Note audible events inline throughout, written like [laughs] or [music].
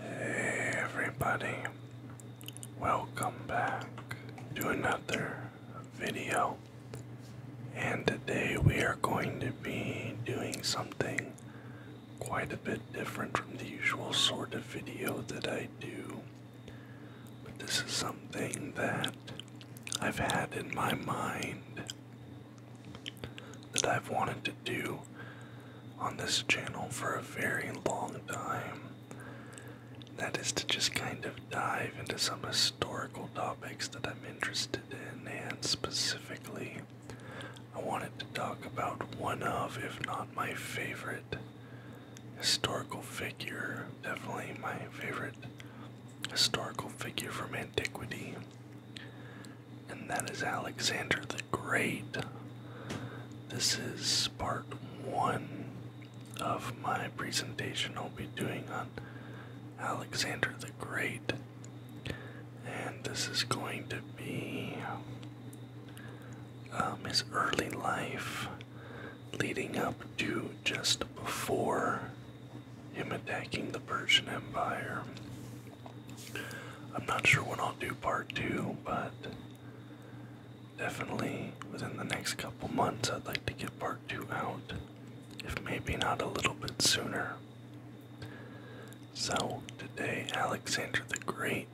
Hey everybody, welcome back to another video. And today we are going to be doing something quite a bit different from the usual sort of video that I do. But this is something that I've had in my mind that I've wanted to do on this channel for a very long time. That is to just kind of dive into some historical topics that I'm interested in, and specifically, I wanted to talk about one of, if not my favorite, historical figure, definitely my favorite historical figure from antiquity. And that is Alexander the Great. This is part one of my presentation I'll be doing on Alexander the Great. And this is going to be um, his early life leading up to just before him attacking the Persian Empire. I'm not sure when I'll do part two, but definitely within the next couple months, I'd like to get part two out, if maybe not a little bit sooner. So, today, Alexander the Great.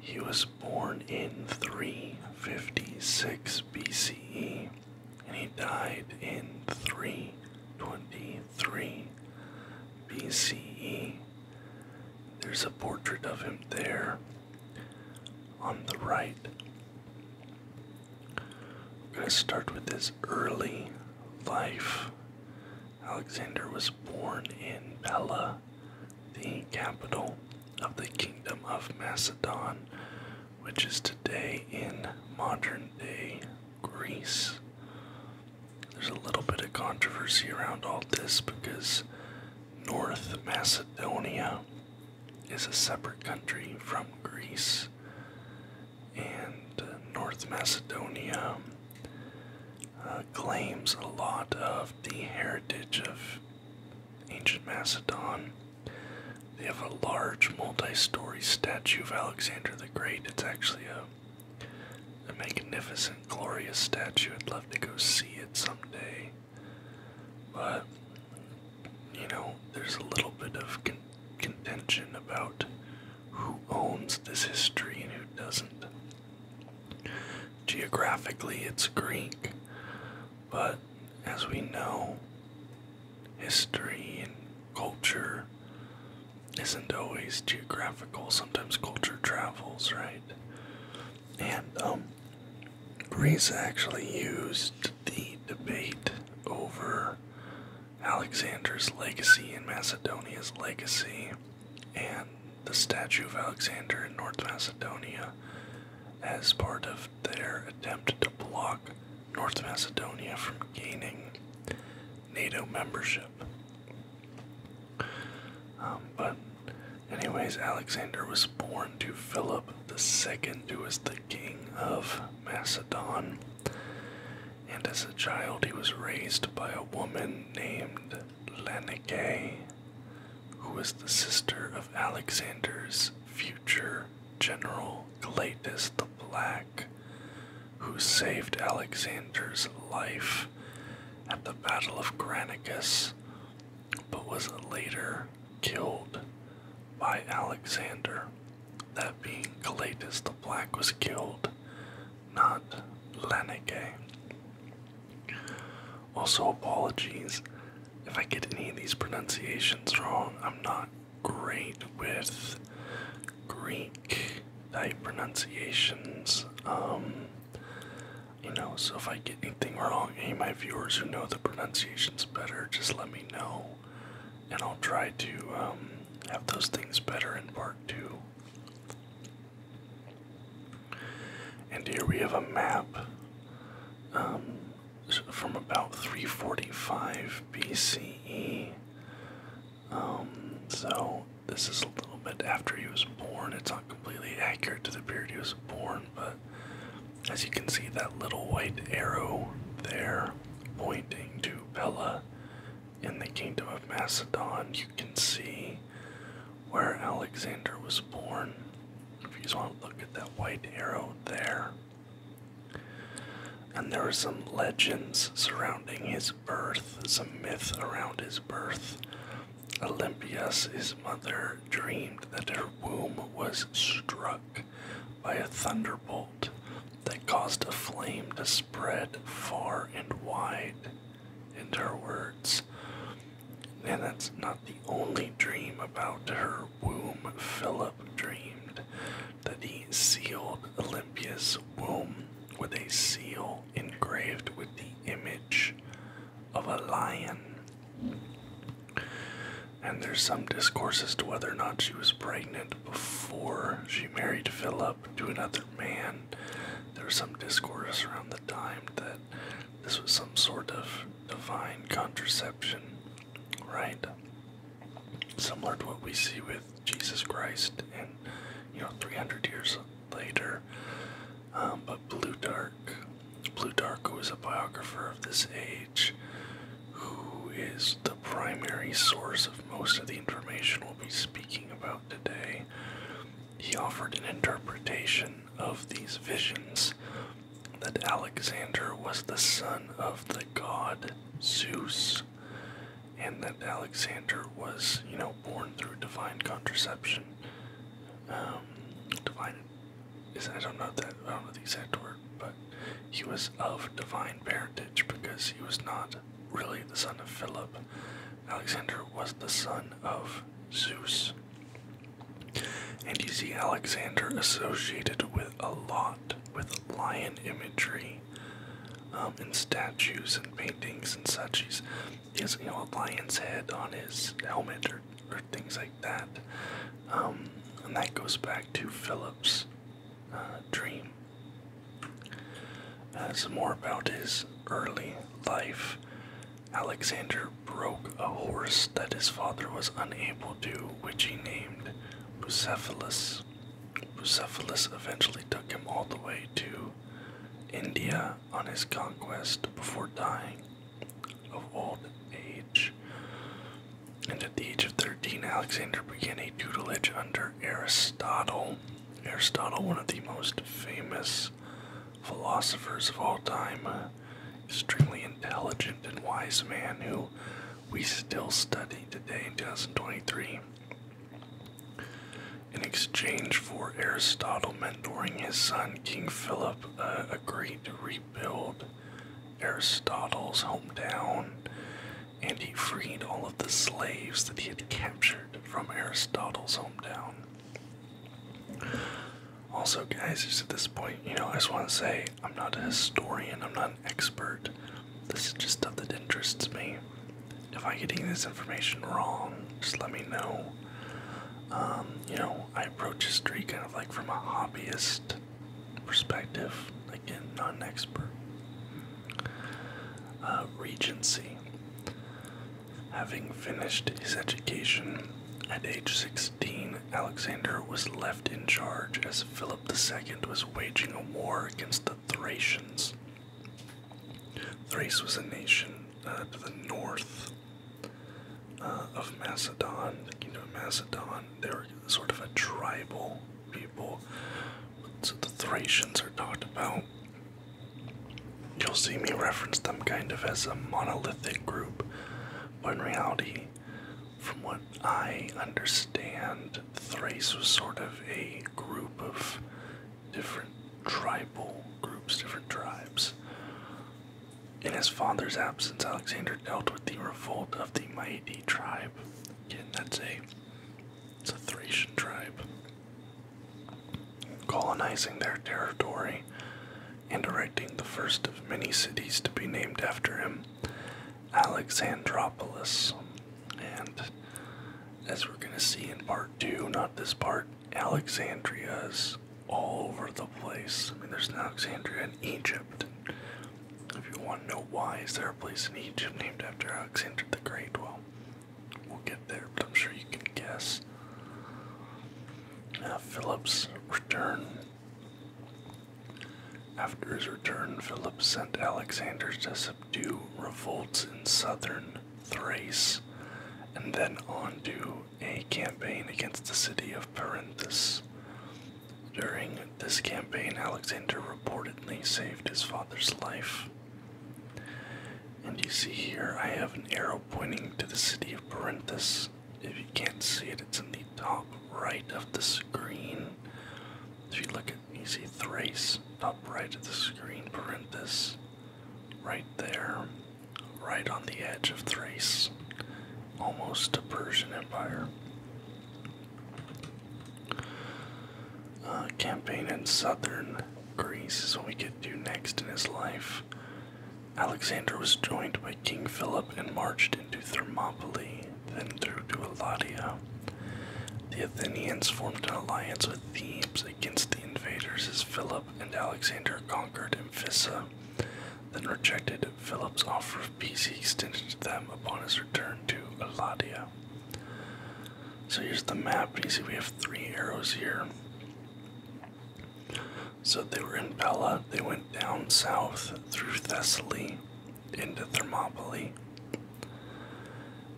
He was born in 356 BCE and he died in 323 BCE. There's a portrait of him there on the right. We're going to start with his early life. Alexander was born in Pella, the capital of the Kingdom of Macedon, which is today in modern day Greece. There's a little bit of controversy around all this because North Macedonia is a separate country from Greece, and uh, North Macedonia uh, claims a lot of the heritage of ancient Macedon. They have a large multi story statue of Alexander the Great. It's actually a a magnificent, glorious statue. I'd love to go see it someday. But, you know, there's a little bit of contention about who owns this history and who doesn't. Geographically, it's Greek, but as we know, history and culture isn't always geographical, sometimes culture travels, right? And um, Greece actually used the debate over Alexander's legacy and Macedonia's legacy and the statue of Alexander in North Macedonia as part of their attempt to block North Macedonia from gaining NATO membership. Um, but, anyways, Alexander was born to Philip II, who was the king of Macedon. And as a child, he was raised by a woman named Lanike, who was the sister of Alexander's future general Gladys the Black who saved Alexander's life at the Battle of Granicus, but was later killed by Alexander. That being Galatas the Black was killed, not Lanike. Also, apologies if I get any of these pronunciations wrong. I'm not great with Greek type pronunciations. Um, you know, so if I get anything wrong, any of my viewers who know the pronunciations better, just let me know, and I'll try to um, have those things better in part two. And here we have a map um, from about 345 BCE um, so this is a little bit after he was born. It's not completely accurate to the period he was born, but as you can see, that little white arrow there pointing to Pella in the kingdom of Macedon, you can see where Alexander was born. If you just want to look at that white arrow there. And there are some legends surrounding his his birth, some myth around his birth. Olympias, his mother, dreamed that her womb was struck by a thunderbolt that caused a flame to spread far and wide, in her words. And that's not the only dream about her womb. Philip dreamed that he sealed Olympias' womb with a seal engraved with the image of a lion. And there's some discourse as to whether or not she was pregnant before she married Philip to another man. There's some discourse around the time that this was some sort of divine contraception, right? Similar to what we see with Jesus Christ in, you know, 300 years later. Um, but Plutarch, Plutarch, who is a biographer of this age, who is the primary source of most of the information we'll be speaking about today, he offered an interpretation of these visions that Alexander was the son of the god Zeus and that Alexander was, you know, born through divine contraception. Um, divine is I don't know that I don't know the exact word, but he was of divine parentage because he was not really the son of Philip. Alexander was the son of Zeus. And you see Alexander associated with a lot with lion imagery um, in statues and paintings and such. He's, he has you know a lion's head on his helmet or, or things like that, um, and that goes back to Philip's uh, dream. Uh, more about his early life. Alexander broke a horse that his father was unable to, which he named Bucephalus. Bucephalus eventually took him all the way to India on his conquest before dying of old age. And at the age of 13, Alexander began a tutelage under Aristotle. Aristotle, one of the most famous philosophers of all time, extremely intelligent and wise man who we still study today in 2023. In exchange for Aristotle mentoring his son, King Philip uh, agreed to rebuild Aristotle's hometown and he freed all of the slaves that he had captured from Aristotle's hometown. Also, guys, just at this point, you know, I just want to say I'm not a historian, I'm not an expert. This is just stuff that interests me if I'm getting this information wrong, just let me know. Um, you know, I approach history kind of like from a hobbyist perspective, again, not an expert. Uh, Regency. Having finished his education at age 16, Alexander was left in charge as Philip II was waging a war against the Thracians. Thrace was a nation uh, to the north uh, of Macedon, the kingdom Macedon. They were sort of a tribal people. So the Thracians are talked about. You'll see me reference them kind of as a monolithic group, but in reality, from what I understand, Thrace was sort of a group of different tribal groups, different tribes. In his father's absence, Alexander dealt with the revolt of the Maidi tribe. Again, that's a, it's a Thracian tribe. Colonizing their territory and erecting the first of many cities to be named after him, Alexandropolis and as we're going to see in part two, not this part, Alexandria is all over the place. I mean, there's an Alexandria in Egypt. If you want to know why is there a place in Egypt named after Alexander the Great, well, we'll get there, but I'm sure you can guess. Uh, Philip's return. After his return, Philip sent Alexander to subdue revolts in southern Thrace, and then on to a campaign against the city of Parenthus. During this campaign, Alexander reportedly saved his father's life. And you see here, I have an arrow pointing to the city of Parenthus. If you can't see it, it's in the top right of the screen. If you look at Easy Thrace top right of the screen, parenthesis, right there, right on the edge of Thrace, almost a Persian Empire. Uh, campaign in southern Greece is what we could do next in his life. Alexander was joined by King Philip and marched into Thermopylae, then through to Eladia. The Athenians formed an alliance with Thebes against the invaders as Philip and Alexander conquered Amphissa, then rejected Philip's offer of peace he extended to them upon his return to Eladia. So here's the map. You see we have three arrows here. So they were in Pella, they went down south through Thessaly into Thermopylae.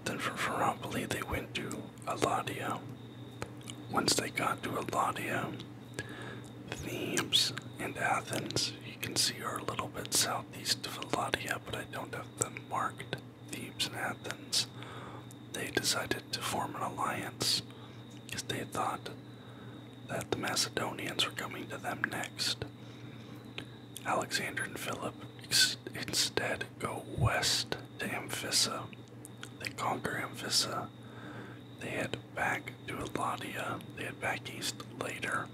Then from Thermopylae they went to Eladio. Once they got to Eladio, Thebes, and Athens, you can see our little bit southeast of Eladia, but I don't have them marked. Thebes and Athens. They decided to form an alliance because they thought that the Macedonians were coming to them next. Alexander and Philip instead go west to Amphissa. They conquer Amphissa. They head back to Eladia. They head back east later.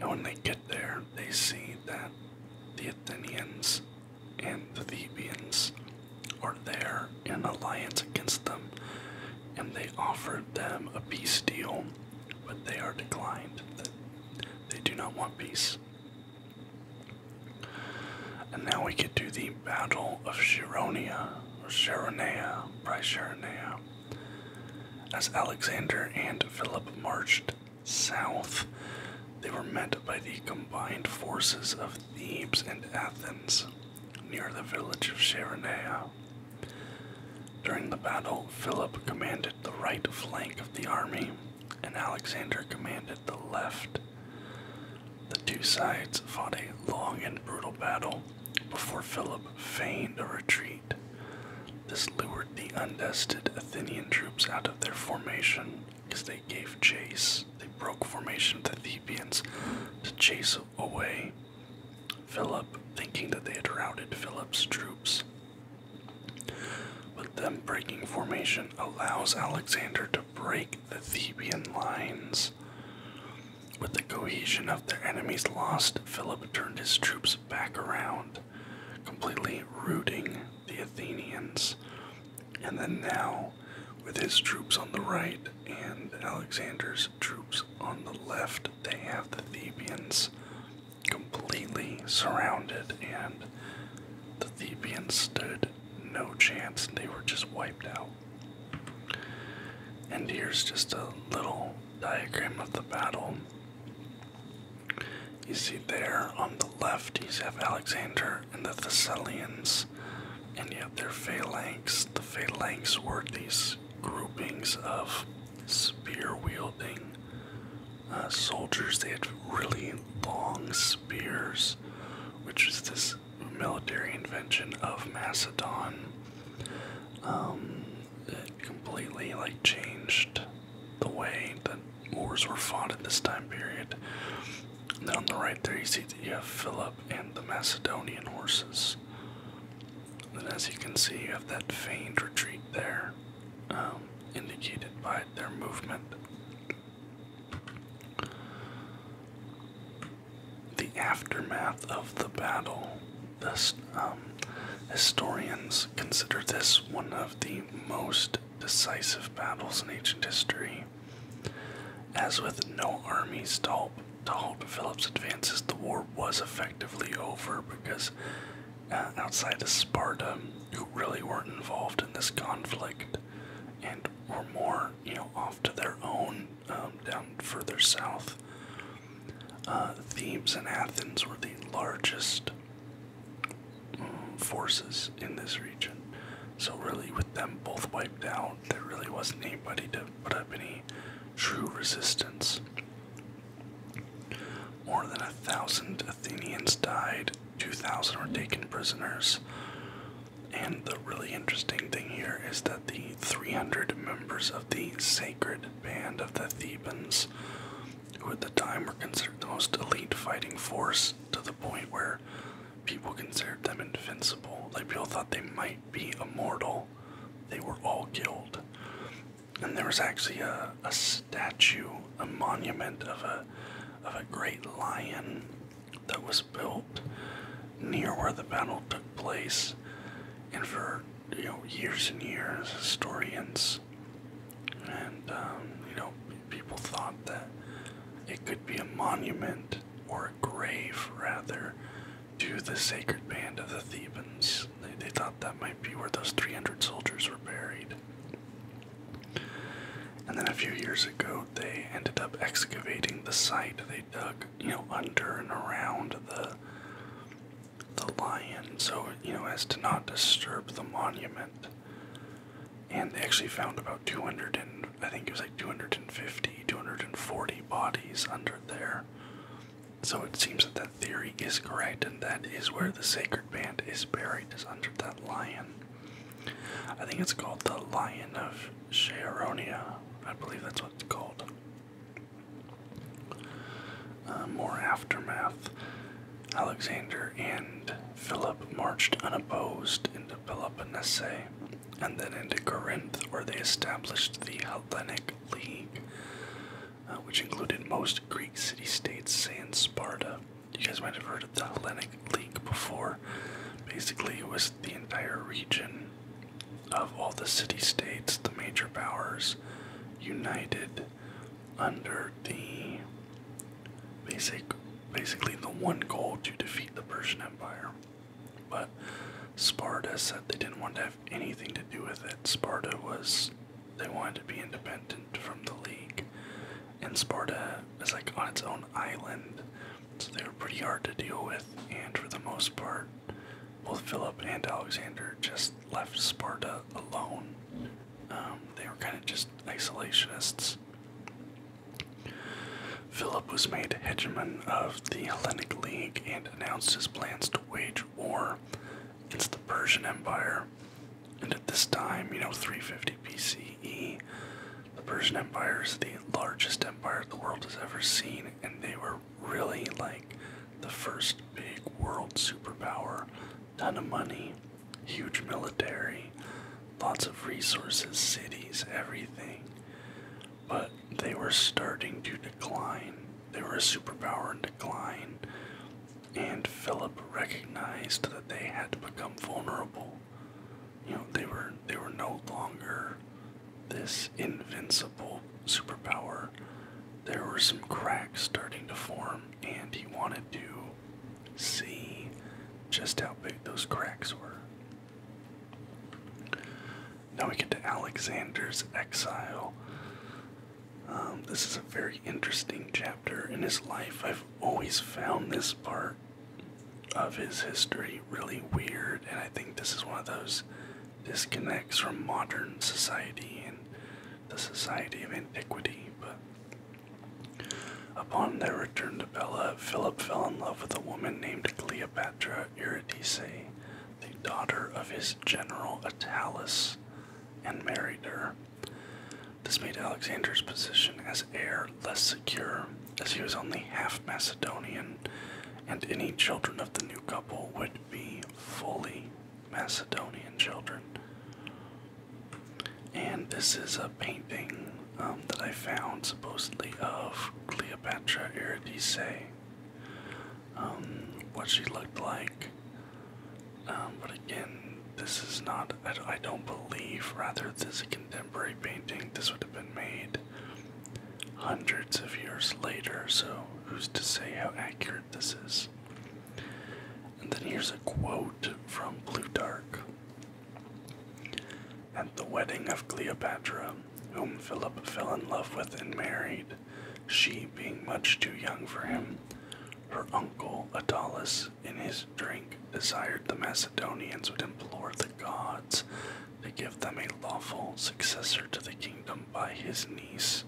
And when they get there, they see that the Athenians and the Thebians are there in alliance against them, and they offer them a peace deal, but they are declined. They do not want peace. And now we get to the Battle of Chironia, or Sharonea, by Sharonea, as Alexander and Philip marched south. They were met by the combined forces of Thebes and Athens near the village of Chironia. During the battle, Philip commanded the right flank of the army, and Alexander commanded the left. The two sides fought a long and brutal battle before Philip feigned a retreat. This lured the undested Athenian troops out of their formation as they gave chase. They broke formation with the Thebians to chase away Philip, thinking that they had routed Philip's troops, but then breaking formation allows Alexander to break the Theban lines. With the cohesion of their enemies lost, Philip turned his troops back around, completely routing the Athenians. And then now, with his troops on the right and Alexander's troops on the left, they have the Thebans completely surrounded, and the Thebians stood no chance. They were just wiped out. And here's just a little diagram of the battle. You see there on the left, you have Alexander and the Thessalians, and you have their phalanx. The phalanx were these groupings of spear wielding uh, soldiers. They had really long spears, which is this military invention of Macedon. Um, it completely like changed the way that wars were fought in this time period. And then on the right there, you see that you have Philip and the Macedonian horses. And as you can see, you have that feigned retreat there. Um, indicated by their movement. The aftermath of the battle, this, um, historians consider this one of the most decisive battles in ancient history. As with no armies to halt, to halt Philip's advances, the war was effectively over because uh, outside of Sparta who really weren't involved in this conflict and were more, you know, off to their own um, down further south. Uh, Thebes and Athens were the largest mm, forces in this region. So, really, with them both wiped out, there really wasn't anybody to put up any true resistance. More than a thousand Athenians died, 2,000 were taken prisoners. And the really interesting thing here is that the 300 members of the Sacred Band of the Thebans, who at the time were considered the most elite fighting force to the point where people considered them invincible, like people thought they might be immortal, they were all killed. And there was actually a, a statue a monument of a of a great lion that was built near where the battle took place, and for you know years and years, historians and um, you know people thought that it could be a monument or a grave rather to the sacred band of the Thebans. They, they thought that might be where those 300 soldiers were buried. And then a few years ago, they ended up excavating the site. They dug, you know, under and around the the lion, so you know, as to not disturb the monument. And they actually found about 200 and I think it was like 250, 240 bodies under there. So it seems that that theory is correct, and that is where the sacred band is buried, is under that lion. I think it's called the Lion of Sharonia. I believe that's what it's called. Uh, more aftermath. Alexander and Philip marched unopposed into Peloponnese and then into Corinth, where they established the Hellenic League, uh, which included most Greek city states and Sparta you guys might have heard of the Hellenic League before. Basically, it was the entire region of all the city states, the major powers, united under the basic, basically the one goal to defeat the Persian Empire. But Sparta said they didn't want to have anything to do with it. Sparta was they wanted to be independent from the league, and Sparta is like on its own island, so they were pretty hard to deal with. And for the most part, both Philip and Alexander just left Sparta alone. Um, they were kind of just isolationists. Philip was made hegemon of the Hellenic League and announced his plans to wage war against the Persian Empire and at this time, you know, 350 BCE, the Persian Empire is the largest empire the world has ever seen, and they were really like the first big world superpower. Ton of money, huge military, lots of resources, cities, everything. But they were starting to decline. They were a superpower in decline and Philip recognized that they had become vulnerable. You know, they were they were no longer this invincible superpower. There were some cracks starting to form, and he wanted to see just how big those cracks were. Now we get to Alexander's exile. Um, this is a very interesting chapter in his life. I've always found this part of his history really weird, and I think this is one of those disconnects from modern society and the society of antiquity. But upon their return to Bella, Philip fell in love with a woman named Cleopatra Eurydice, the daughter of his general Attalus, and married her. This made Alexander's position as heir less secure, as he was only half Macedonian, and any children of the new couple would be fully Macedonian children. And this is a painting um, that I found supposedly of Cleopatra Eurydice. Um, what she looked like, um, but again, this is not, I, don't believe, rather, this is a contemporary painting. This would have been made hundreds of years later, so who's to say how accurate this is? And then here's a quote from Plutarch. At the wedding of Cleopatra, whom Philip fell in love with and married, she being much too young for him, her uncle Attalus in his drink, desired the Macedonians would implore the gods to give them a lawful successor to the kingdom by his niece.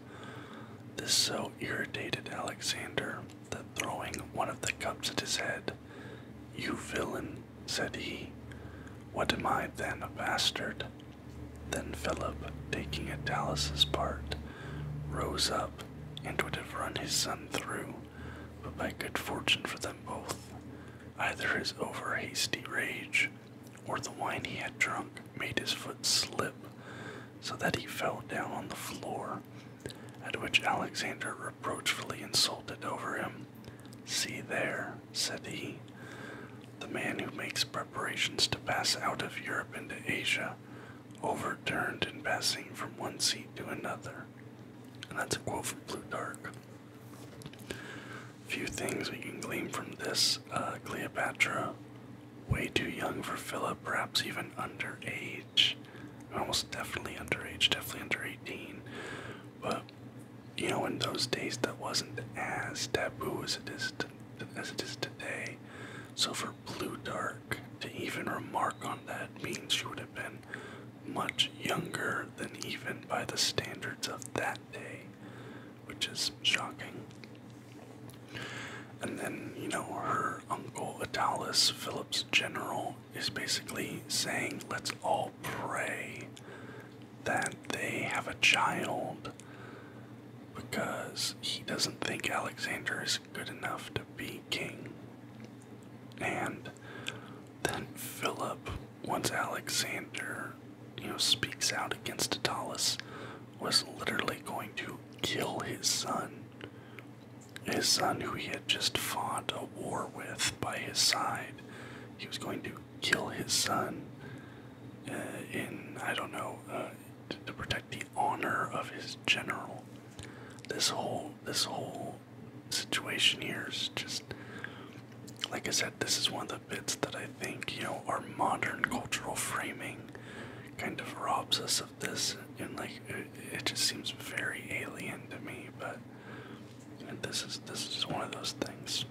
This so irritated Alexander that throwing one of the cups at his head, You villain, said he, what am I then, a bastard? Then Philip, taking Italus's part, rose up and would have run his son through, but by good fortune for them both, either his over hasty rage or the wine he had drunk made his foot slip so that he fell down on the floor, at which Alexander reproachfully insulted over him. See there, said he, the man who makes preparations to pass out of Europe into Asia, overturned and passing from one seat to another. And that's a quote from Blue Plutarch. Few things we can glean from this. Uh, Cleopatra, way too young for Philip, perhaps even underage. Almost definitely underage, definitely under 18. But, you know, in those days that wasn't as taboo as it is today. So for Blue dark to even remark on that means she would have been much younger than even by the standards of that day, which is shocking. And then, you know, her uncle Atalus Philip's general, is basically saying, let's all pray that they have a child because he doesn't think Alexander is good enough to be king. And then Philip, once Alexander, you know, speaks out against Attalus, was literally going to kill his son. His son, who he had just fought a war with by his side, he was going to kill his son uh, in, I don't know, uh, to protect the honor of his general this whole this whole situation here is just like I said, this is one of the bits that I think, you know, our modern cultural framing kind of robs us of this and like it, just seems very alien to me, but this is this is one of those things.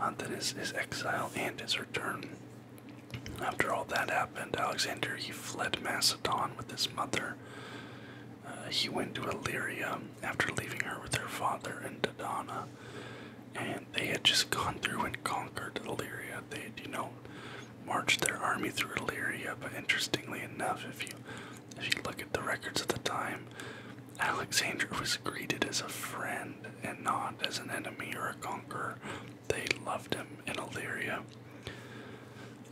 Uh, that is is exile and is return after all that happened, Alexander he fled Macedon with his mother. Uh, he went to Illyria after leaving her with her father and Dodona, and they had just gone through and conquered Illyria. They had, you know, marched their army through Illyria. But interestingly enough, if you if you look at the records at the time, Alexander was greeted as a friend and not as an enemy or a conqueror they loved him in Illyria.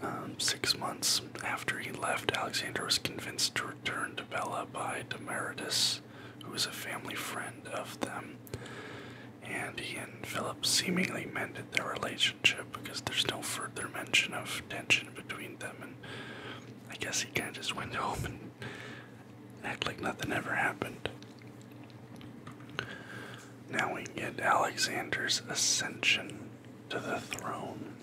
Um, six months after he left, Alexander was convinced to return to Bella by Demaratus, who was a family friend of them. And he and Philip seemingly mended their relationship because there's no further mention of tension between them. And I guess he kind of just went [laughs] home and acted like nothing ever happened. Now we get Alexander's ascension to the throne.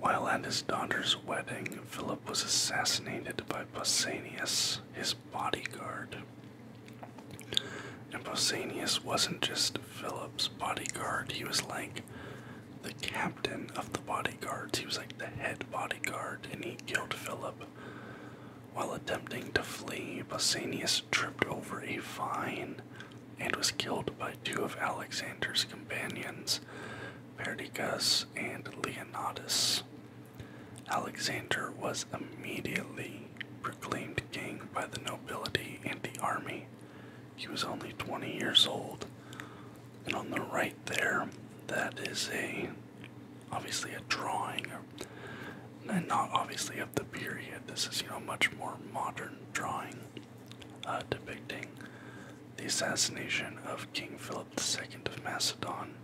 While at his daughter's wedding, Philip was assassinated by Pausanias, his bodyguard. And Pausanias wasn't just Philip's bodyguard, he was like the captain of the bodyguards. He was like the head bodyguard, and he killed Philip while attempting to flee, Pausanias tripped over a vine and was killed by two of Alexander's companions, Perdiccas and Leonidas. Alexander was immediately proclaimed king by the nobility and the army. He was only 20 years old. And on the right there, that is a obviously a drawing and not obviously of the period. This is, you know, much more modern drawing uh, depicting the assassination of King Philip II of Macedon.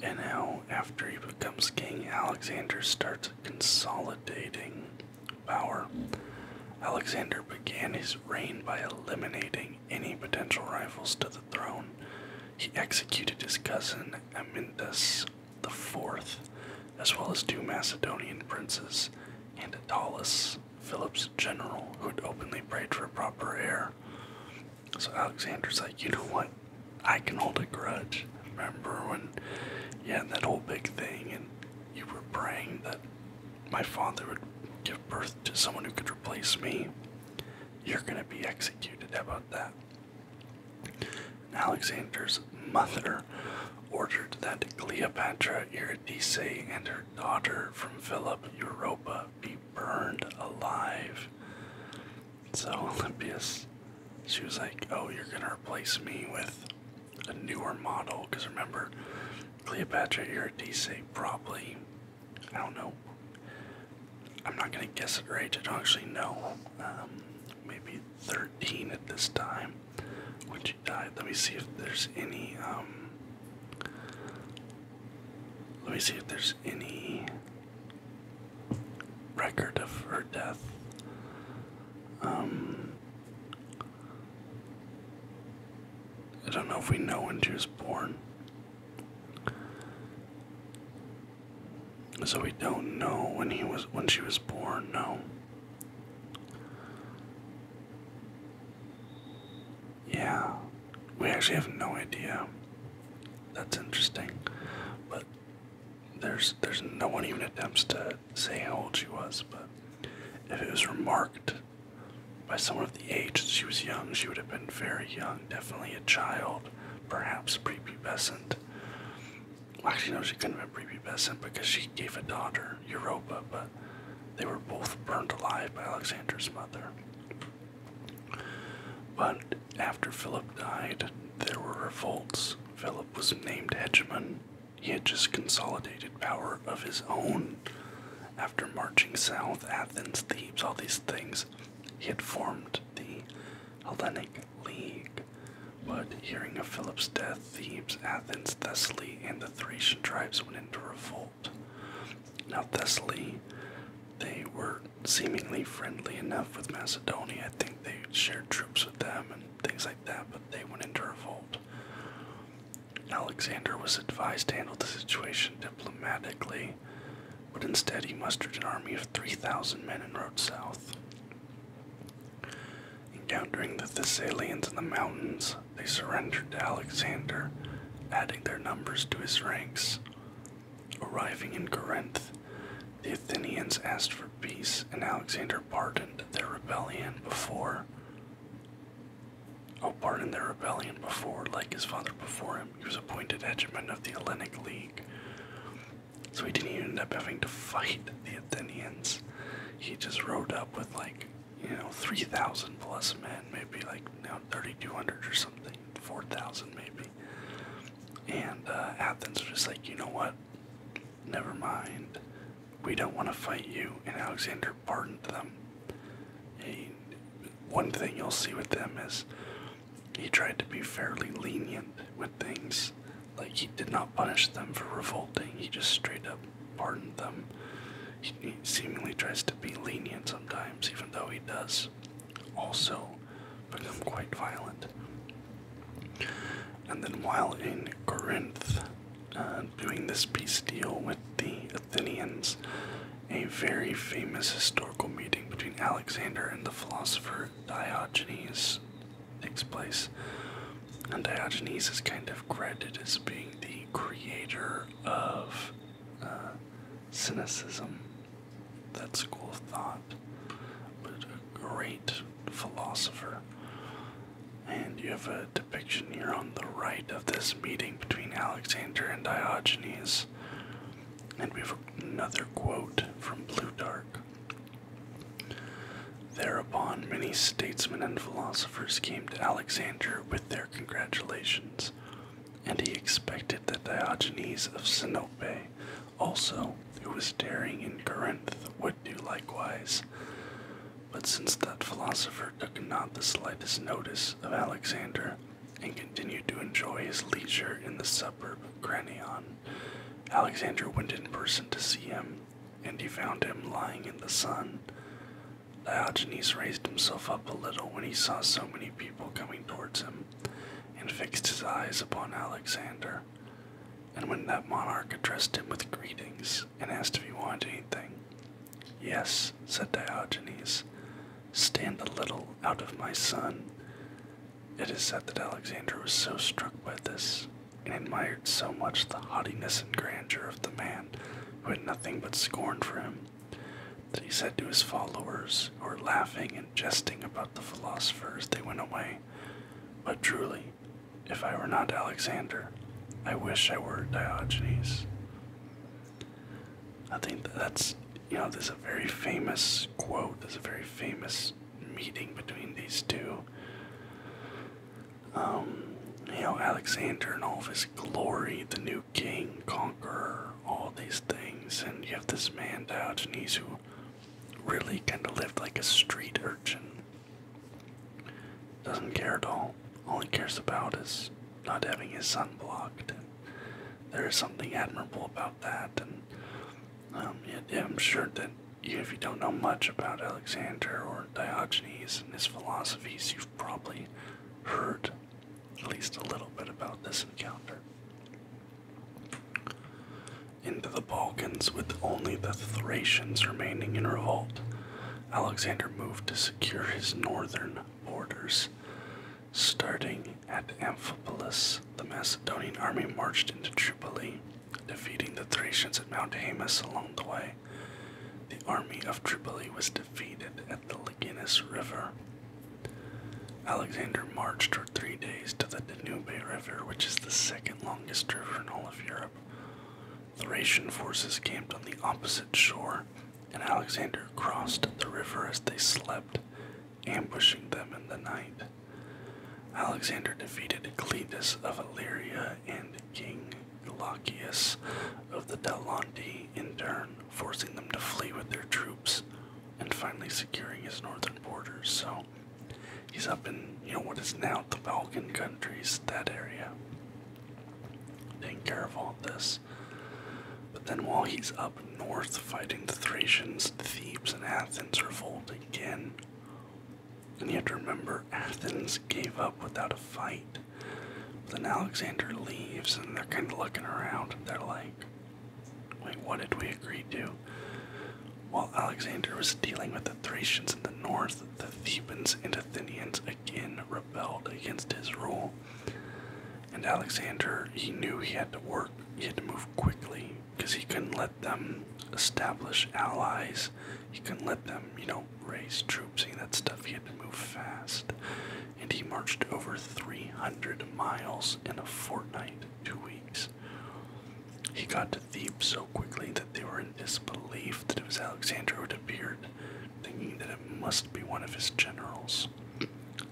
And now, after he becomes king, Alexander starts consolidating power. Alexander began his reign by eliminating any potential rivals to the throne he executed his cousin Amyntas the Fourth, as well as two Macedonian princes, and Attalus, Philip's general, who had openly prayed for a proper heir. So Alexander's like, you know what? I can hold a grudge. Remember when you had that whole big thing and you were praying that my father would give birth to someone who could replace me? You're going to be executed. about that? Alexander's mother ordered that Cleopatra Eurydice and her daughter from Philip Europa be burned alive. So Olympias, she was like, Oh, you're going to replace me with a newer model. Because remember, Cleopatra Eurydice probably I don't know. I'm not gonna guess it right. I don't actually know. Um, maybe 13 at this time when she died. Let me see if there's any. Um, let me see if there's any record of her death. Um, I don't know if we know when she was born. So we don't know when he was when she was born, no. Yeah, we actually have no idea. That's interesting, but there's there's no one even attempts to say how old she was. But if it was remarked by someone of the age that she was young, she would have been very young, definitely a child perhaps prepubescent. Well, actually, no, she couldn't have been prepubescent because she gave a daughter, Europa, but they were both burned alive by Alexander's mother. But after Philip died, there were revolts. Philip was named hegemon. He had just consolidated power of his own. After marching south, Athens, Thebes, all these things, he had formed the Hellenic League. But hearing of Philip's death, Thebes, Athens, Thessaly, and the Thracian tribes went into revolt. Now, Thessaly, they were seemingly friendly enough with Macedonia. I think they shared troops with them and things like that, but they went into revolt. Alexander was advised to handle the situation diplomatically, but instead he mustered an army of 3,000 men and rode south. Encountering the Thessalians in the mountains, they surrendered to Alexander, adding their numbers to his ranks. Arriving in Corinth, the Athenians asked for peace, and Alexander pardoned their rebellion before. Oh, pardon their rebellion before, like his father before him. He was appointed hegemon of the Hellenic League. So he didn't even end up having to fight the Athenians. He just rode up with like, you know, 3,000 plus men, maybe like now 3,200 or something, 4,000 maybe. And uh, Athens was just like, you know what? Never mind. We don't want to fight you. And Alexander pardoned them one thing you'll see with them is he tried to be fairly lenient with things. Like he did not punish them for revolting, he just straight up pardoned them. He, seemingly tries to be lenient sometimes, even though he does also become quite violent. And then while in Corinth, uh, doing this peace deal with the Athenians, a very famous historical meeting between Alexander and the philosopher Diogenes takes place. And Diogenes is kind of credited as being the creator of uh, cynicism, that school of thought, but a great philosopher. And you have a depiction here on the right of this meeting between Alexander and Diogenes. And we have another quote from Blue Dark. Thereupon, many statesmen and philosophers came to Alexander with their congratulations, and he expected that Diogenes of Sinope, also, who was daring in Corinth, would do likewise. But since that philosopher took not the slightest notice of Alexander, and continued to enjoy his leisure in the suburb of Granion. Alexander went in person to see him, and he found him lying in the sun. Diogenes raised himself up a little when he saw so many people coming towards him, and fixed his eyes upon Alexander. And when that monarch addressed him with greetings and asked if he wanted anything, Yes, said Diogenes, Stand a little out of my sun. It is said that Alexander was so struck by this, and admired so much the haughtiness and grandeur of the man who had nothing but scorn for him, that he said to his followers, who were laughing and jesting about the philosophers," they went away, But truly, if I were not Alexander, I wish I were Diogenes. I think that's, you know, there's a very famous quote, there's a very famous meeting between these two. Um, you know, Alexander and all of his glory, the new king, conqueror, all these things, and you have this man Diogenes who really kind of lived like a street urchin. Doesn't care at all. All he cares about is not having his son blocked. There is something admirable about that, and um, I'm sure that if you don't know much about Alexander or Diogenes and his philosophies, you've probably heard at least a little bit about this encounter. Into the Balkans, with only the Thracians remaining in revolt, Alexander moved to secure his northern borders. Starting at Amphipolis, the Macedonian army marched into Tripoli, defeating the Thracians at Mount Haemus along the way. The army of Tripoli was defeated at the Liginus River. Alexander marched for three days to the Danube River, which is the second longest river in all of Europe. Thracian forces camped on the opposite shore, and Alexander crossed the river as they slept, ambushing them in the night. Alexander defeated Cleitus of Illyria and King Glaucius of the Delonti in turn, forcing them to flee with their troops and finally securing his northern borders. So he's up in, you know, what is now the Balkan countries, that area. Taking care of all this. But then while he's up north fighting the Thracians, Thebes and Athens revolt again. And you have to remember, Athens gave up without a fight. then Alexander leaves, and they're kind of looking around. They're like, wait, what did we agree to? While Alexander was dealing with the Thracians in the north, the Thebans and Athenians again rebelled against his rule. And Alexander, he knew he had to work, he had to move quickly because he couldn't let them establish allies. He couldn't let them, you know, raise troops, any of that stuff. He had to move fast. And he marched over 300 miles in a fortnight, two weeks. He got to Thebes so quickly that they were in disbelief that it was Alexander who had appeared, thinking that it must be one of his generals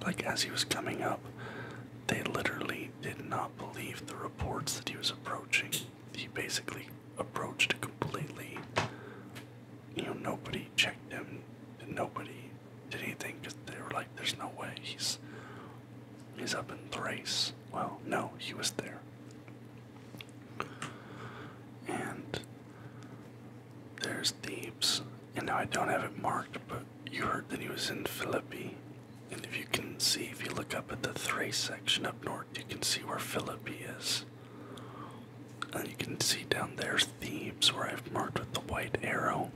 like as he was coming up, they literally did not believe the reports that he was approaching. He basically approached completely. You know, nobody checked him. Nobody did anything because they were like, "There's no way he's he's up in Thrace." Well, no, he was there, and there's Thebes. And now I don't have it marked, but you heard that he was in Philippi. And if you can see, if you look up at the Thrace section up north, you can see where Philippi is. And you can see down there's Thebes, where I've marked with the white arrow.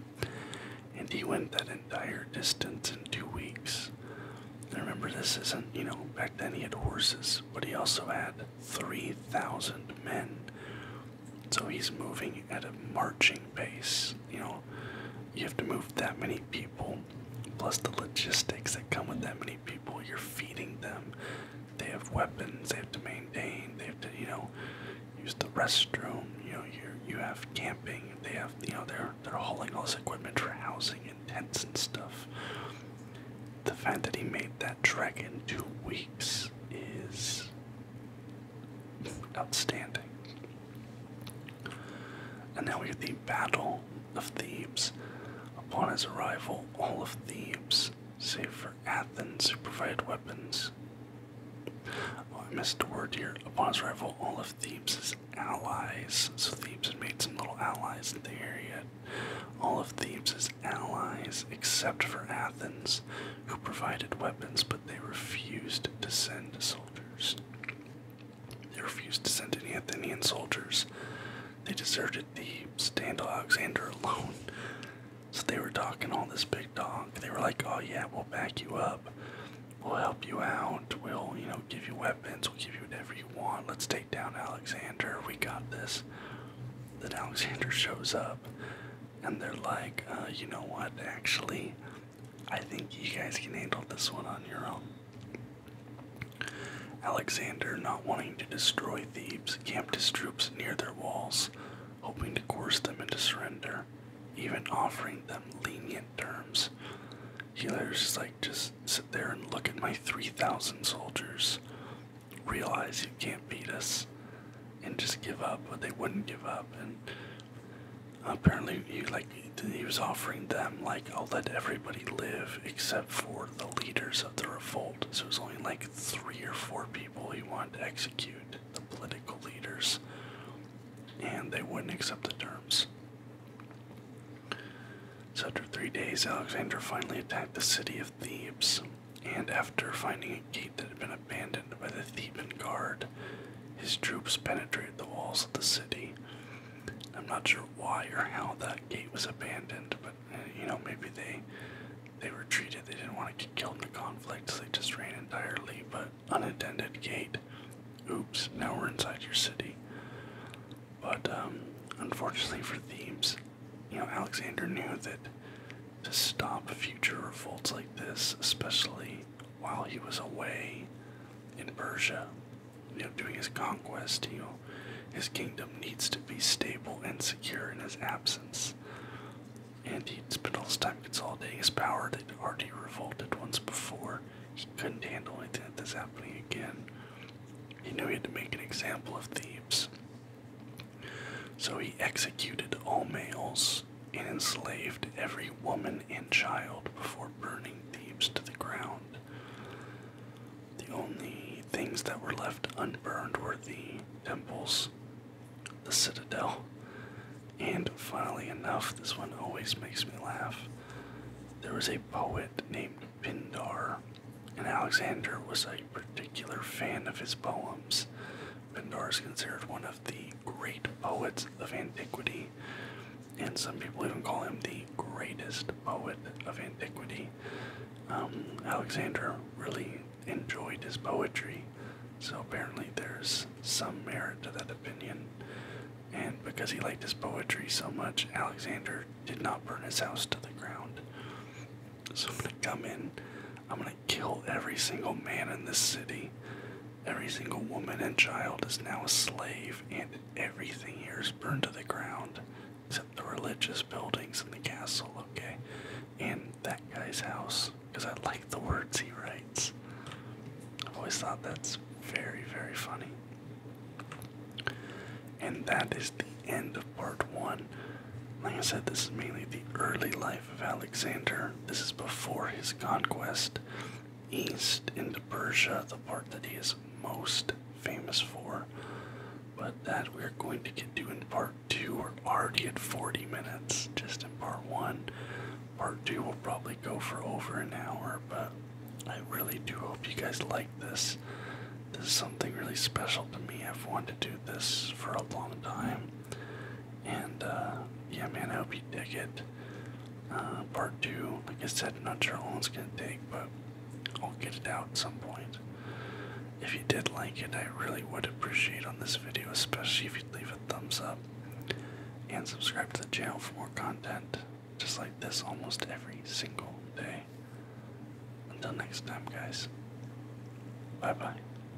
And he went that entire distance in two weeks. I remember this isn't, you know, back then he had horses, but he also had 3,000 men so he's moving at a marching pace. You know, you have to move that many people, plus the logistics that come with that many people. You're feeding them. They have weapons. They have to maintain. They have to, you know, use the restroom. You know, you you have camping. They have, you know, they're they're hauling all this equipment for housing and tents and stuff. The fact that he made that trek in two weeks is Outstanding. And now we get the Battle of Thebes. Upon his arrival, all of Thebes, save for Athens, who provided weapons. Oh, I missed a word here. Upon his arrival, all of Thebes' allies, so Thebes had made some little allies in the area. All of Thebes' allies, except for Athens, who provided weapons, but they refused to send soldiers. They refused to send any Athenian soldiers. They deserted Thebes, Daniel Alexander alone. So they were talking all this big talk. They were like, oh yeah, we'll back you up. We'll help you out. We'll, you know, give you weapons. We'll give you whatever you want. Let's take down Alexander. We got this. Then Alexander shows up and they're like, uh, you know what, actually, I think you guys can handle this one on your own. Alexander, not wanting to destroy Thebes, camped his troops near their walls, hoping to coerce them into surrender, even offering them lenient terms. Healer's just like, just sit there and look at my 3,000 soldiers. Realize you can't beat us and just give up, but they wouldn't give up. And apparently, he like he was offering them like, "I'll let everybody live except for the leaders of the revolt." So it was only like three or four people he wanted to execute, the political leaders, and they wouldn't accept the terms. So after three days, Alexander finally attacked the city of Thebes, and after finding a gate that had been abandoned by the Theban guard, his troops penetrated the walls of the city. I'm not sure why or how that gate was abandoned, but uh, you know maybe they they retreated. They didn't want to get killed in the conflict, they just ran entirely. But unattended gate. Oops! Now we're inside your city. But um, unfortunately for Thebes, you know Alexander knew that to stop future revolts like this, especially while he was away in Persia, you know, doing his conquest. You know, his kingdom needs to be stable and secure in his absence. And he would spent all his time consolidating his power that already revolted once before. He couldn't handle anything like this happening again. He knew he had to make an example of Thebes. So he executed all males and enslaved every woman and child before burning Thebes to the ground. The only things that were left unburned were the temples, the citadel, and funnily enough, this one always makes me laugh. There was a poet named Pindar, and Alexander was a particular fan of his poems, Pindar is considered one of the great poets of antiquity, and some people even call him the greatest poet of antiquity. Um, Alexander really enjoyed his poetry, so apparently there's some merit to that opinion. And because he liked his poetry so much, Alexander did not burn his house to the ground. So I'm gonna come in, I'm gonna kill every single man in this city. Every single woman and child is now a slave, and everything here is burned to the ground except the religious buildings and the castle, okay? And that guy's house, because I like the words he writes. i always thought that's very, very funny. And that is the end of part one. Like I said, this is mainly the early life of Alexander. This is before his conquest east into Persia, the part that he is most famous for. But that we're going to get to in part two. We're already at 40 minutes, just in part one. Part two will probably go for over an hour, but I really do hope you guys like this. This is something really special to me. I've wanted to do this for a long time, and uh, yeah, man, I hope you dig it. Uh, part two, like I said, not sure how long it's gonna take, but I'll get it out at some point. If you did like it, I really would appreciate on this video, especially if you'd leave a thumbs up and subscribe to the channel for more content just like this almost every single day. Until next time, guys. Bye bye.